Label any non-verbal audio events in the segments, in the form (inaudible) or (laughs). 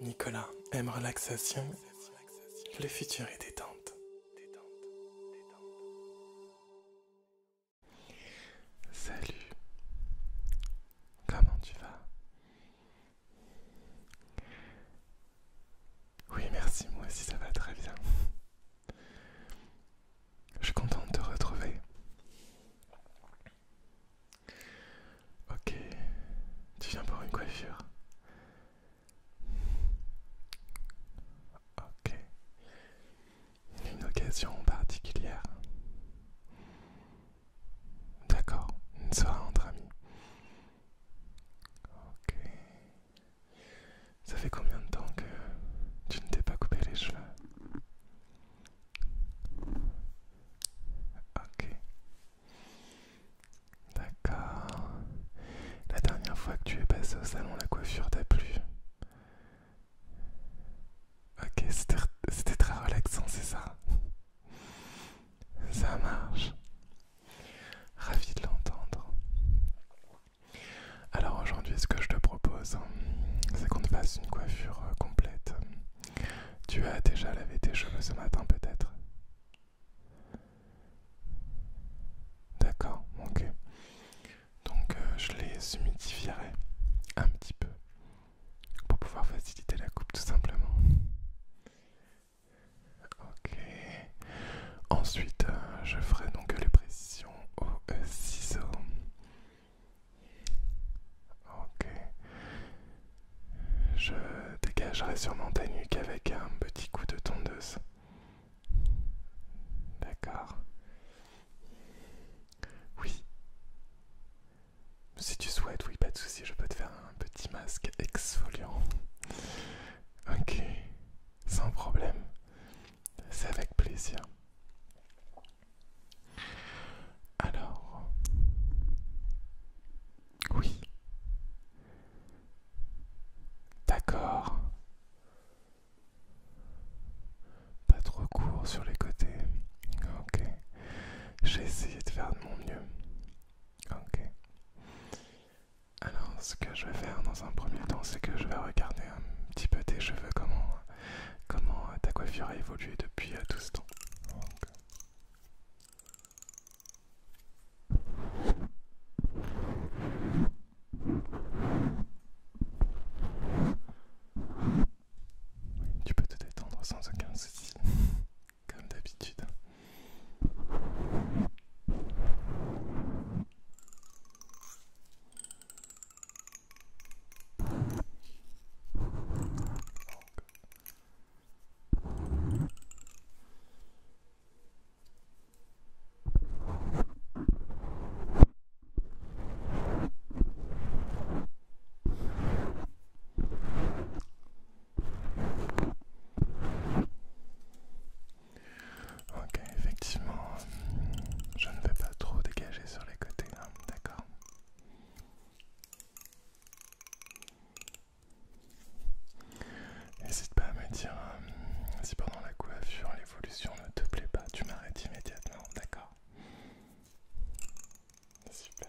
Nicolas aime relaxation. Le futur est détente. Salut. Comment tu vas Oui, merci, moi aussi ça va très bien. Je suis contente de te retrouver. Ok, tu viens pour une coiffure. Ok, une occasion particulière. D'accord, une soirée entre amis. Ok. Ça fait combien de temps que tu ne t'es pas coupé les cheveux Ok. D'accord. La dernière fois que tu es passé au salon, la coiffure t'a plu. Ok, c'était très relaxant, c'est ça Ça marche. Ravi de l'entendre. Alors aujourd'hui, ce que je te propose, c'est qu'on te fasse une coiffure euh, complète. Tu as déjà lavé tes cheveux ce matin peut-être D'accord, ok. Donc euh, je les humidifierai un petit peu pour pouvoir faciliter la coupe tout simplement. Ok. Ensuite, euh, je ferai donc les précisions au ciseau. Ok. Je dégagerai sûrement ta nuque avec un petit coup de tondeuse. D'accord. Oui. Si tu souhaites, oui, pas de souci, je peux te faire un petit masque exfoliant. Ok, sans problème. C'est avec plaisir. Alors, oui, d'accord, pas trop court sur les côtés, ok, j'ai essayé de faire de mon mieux, ok. Alors, ce que je vais faire dans un premier temps, c'est que je vais regarder un petit peu tes cheveux, comment, comment ta coiffure a évolué depuis euh, tout ce temps tu peux te détendre sans aucun souci, (laughs) comme d'habitude. Ok, effectivement, je ne vais pas trop dégager sur les côtés, hein, d'accord N'hésite pas à me dire euh, si pendant la coiffure l'évolution ne te plaît pas, tu m'arrêtes immédiatement, d'accord Super.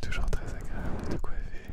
Toujours très agréable de quoi. coiffer.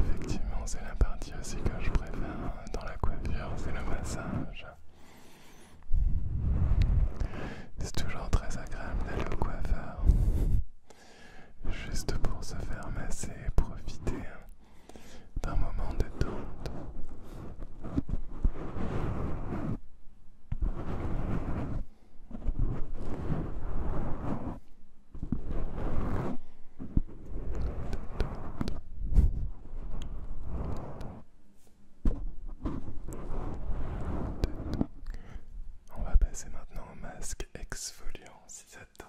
Effectivement, c'est la partie aussi que je préfère dans la coiffure, c'est le massage. C'est toujours très agréable d'aller au coiffeur, juste pour se faire masser et profiter d'un moment de détente. On va passer maintenant au masque exfoliant si ça tente.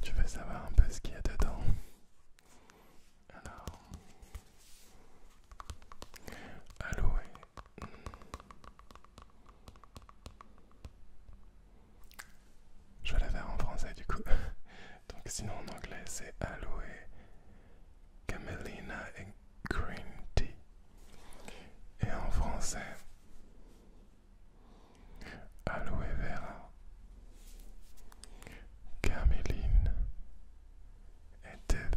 Tu veux savoir un peu ce qu'il y a dedans alors, aloe. Hmm. Je vais la faire en français du coup. (laughs) Donc sinon en anglais c'est aloe, camelina et green tea. Et en français, aloe vera, Caméline était Tether.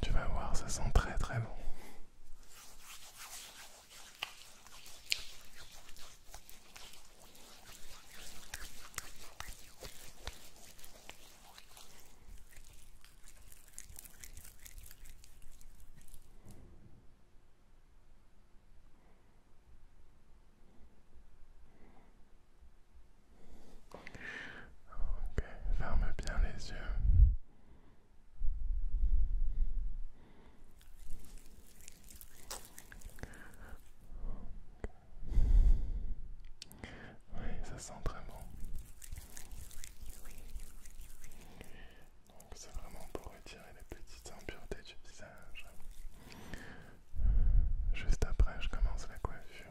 Tu vas voir, ça sent très très bon. Ok, ferme bien les yeux. Oui, ça sent très bon. Donc c'est vraiment pour retirer les petites impuretés du visage. Juste après, je commence la coiffure.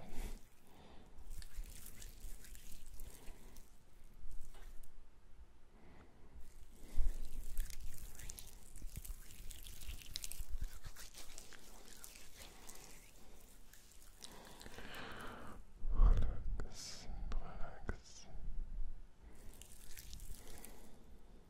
Il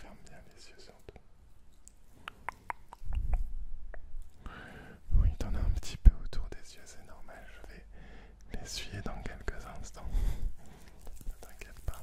ferme bien les yeux surtout. Oui, t'en as un petit peu autour des yeux, c'est normal. Je vais l'essuyer dans quelques instants. (laughs) ne t'inquiète pas.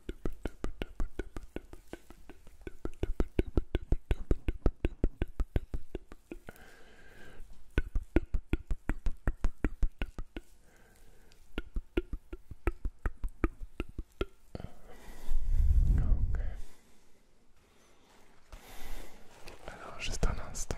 Alors, juste un instant.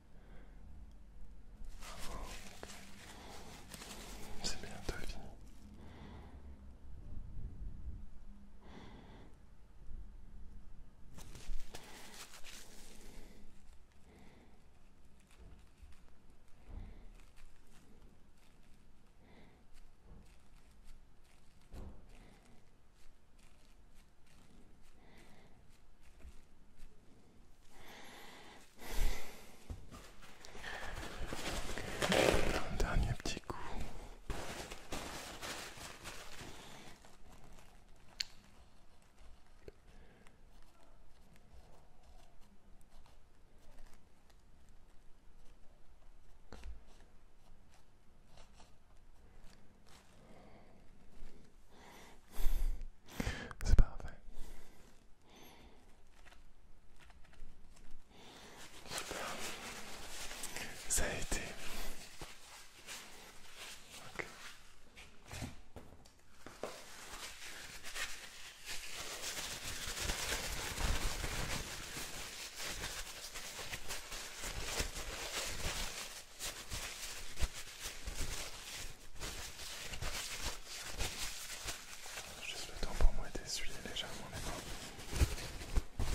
C'est bientôt fini. Un dernier petit coup. C'est parfait. Super. Ça a été. Juste le temps pour moi d'essuyer légèrement les mains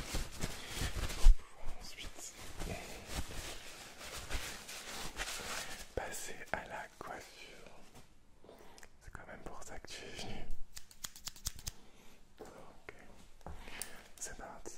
pour ensuite passer à la coiffure. C'est quand même pour ça que tu es venu. Ok, c'est parti.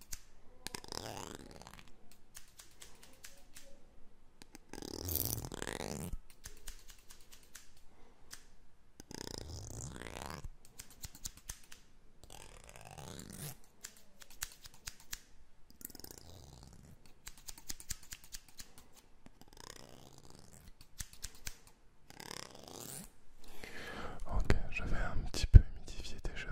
Ok, je vais un petit peu humidifier tes cheveux.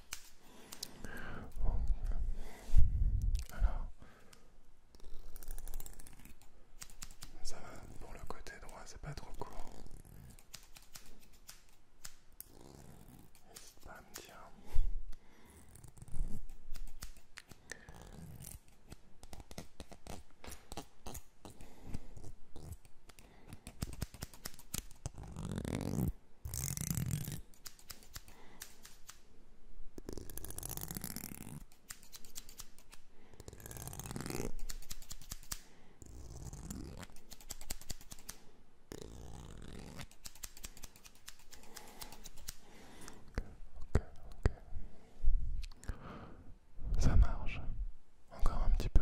Alors, ça va pour le côté droit, c'est pas trop court. N'hésite pas à me dire. Ça marche. Encore un petit peu.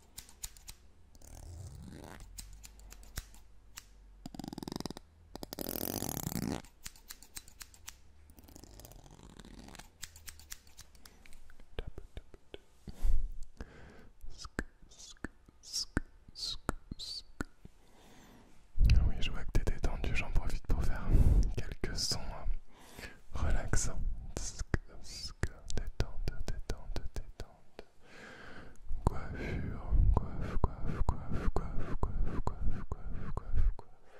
Ah oui, je vois que t'es détendu, j'en profite pour faire quelques sons hein. relaxants. Détente, coiffure, coiffe, coiffe, coiffe, coiffe, coiffe, coiffe, coiffe, coiffe, coiffe.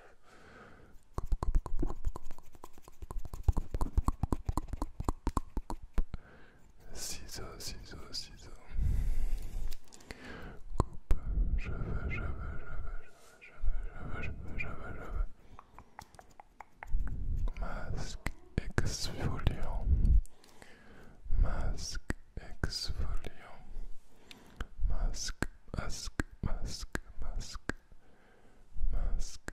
Ciseaux, coiff je je je je je je Masque exfoliant masque exfoliant, masque, masque, masque, masque, masque, masque.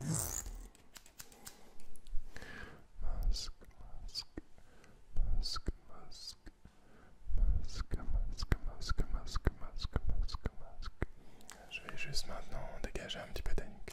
Masque, Masque, masque, masque, masque, masque, masque, masque, masque, masque, masque, masque, masque. Je vais juste maintenant dégager un petit peu d'anique.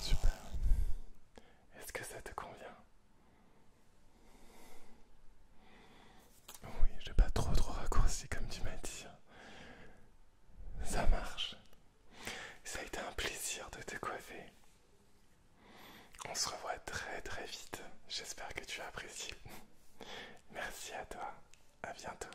Super. Est-ce que ça te convient Oui, j'ai pas trop trop raccourci comme tu m'as dit. Hein. Ça marche. Ça a été un plaisir de te coiffer. On se revoit très très vite. J'espère que tu as apprécié. Merci à toi. À bientôt.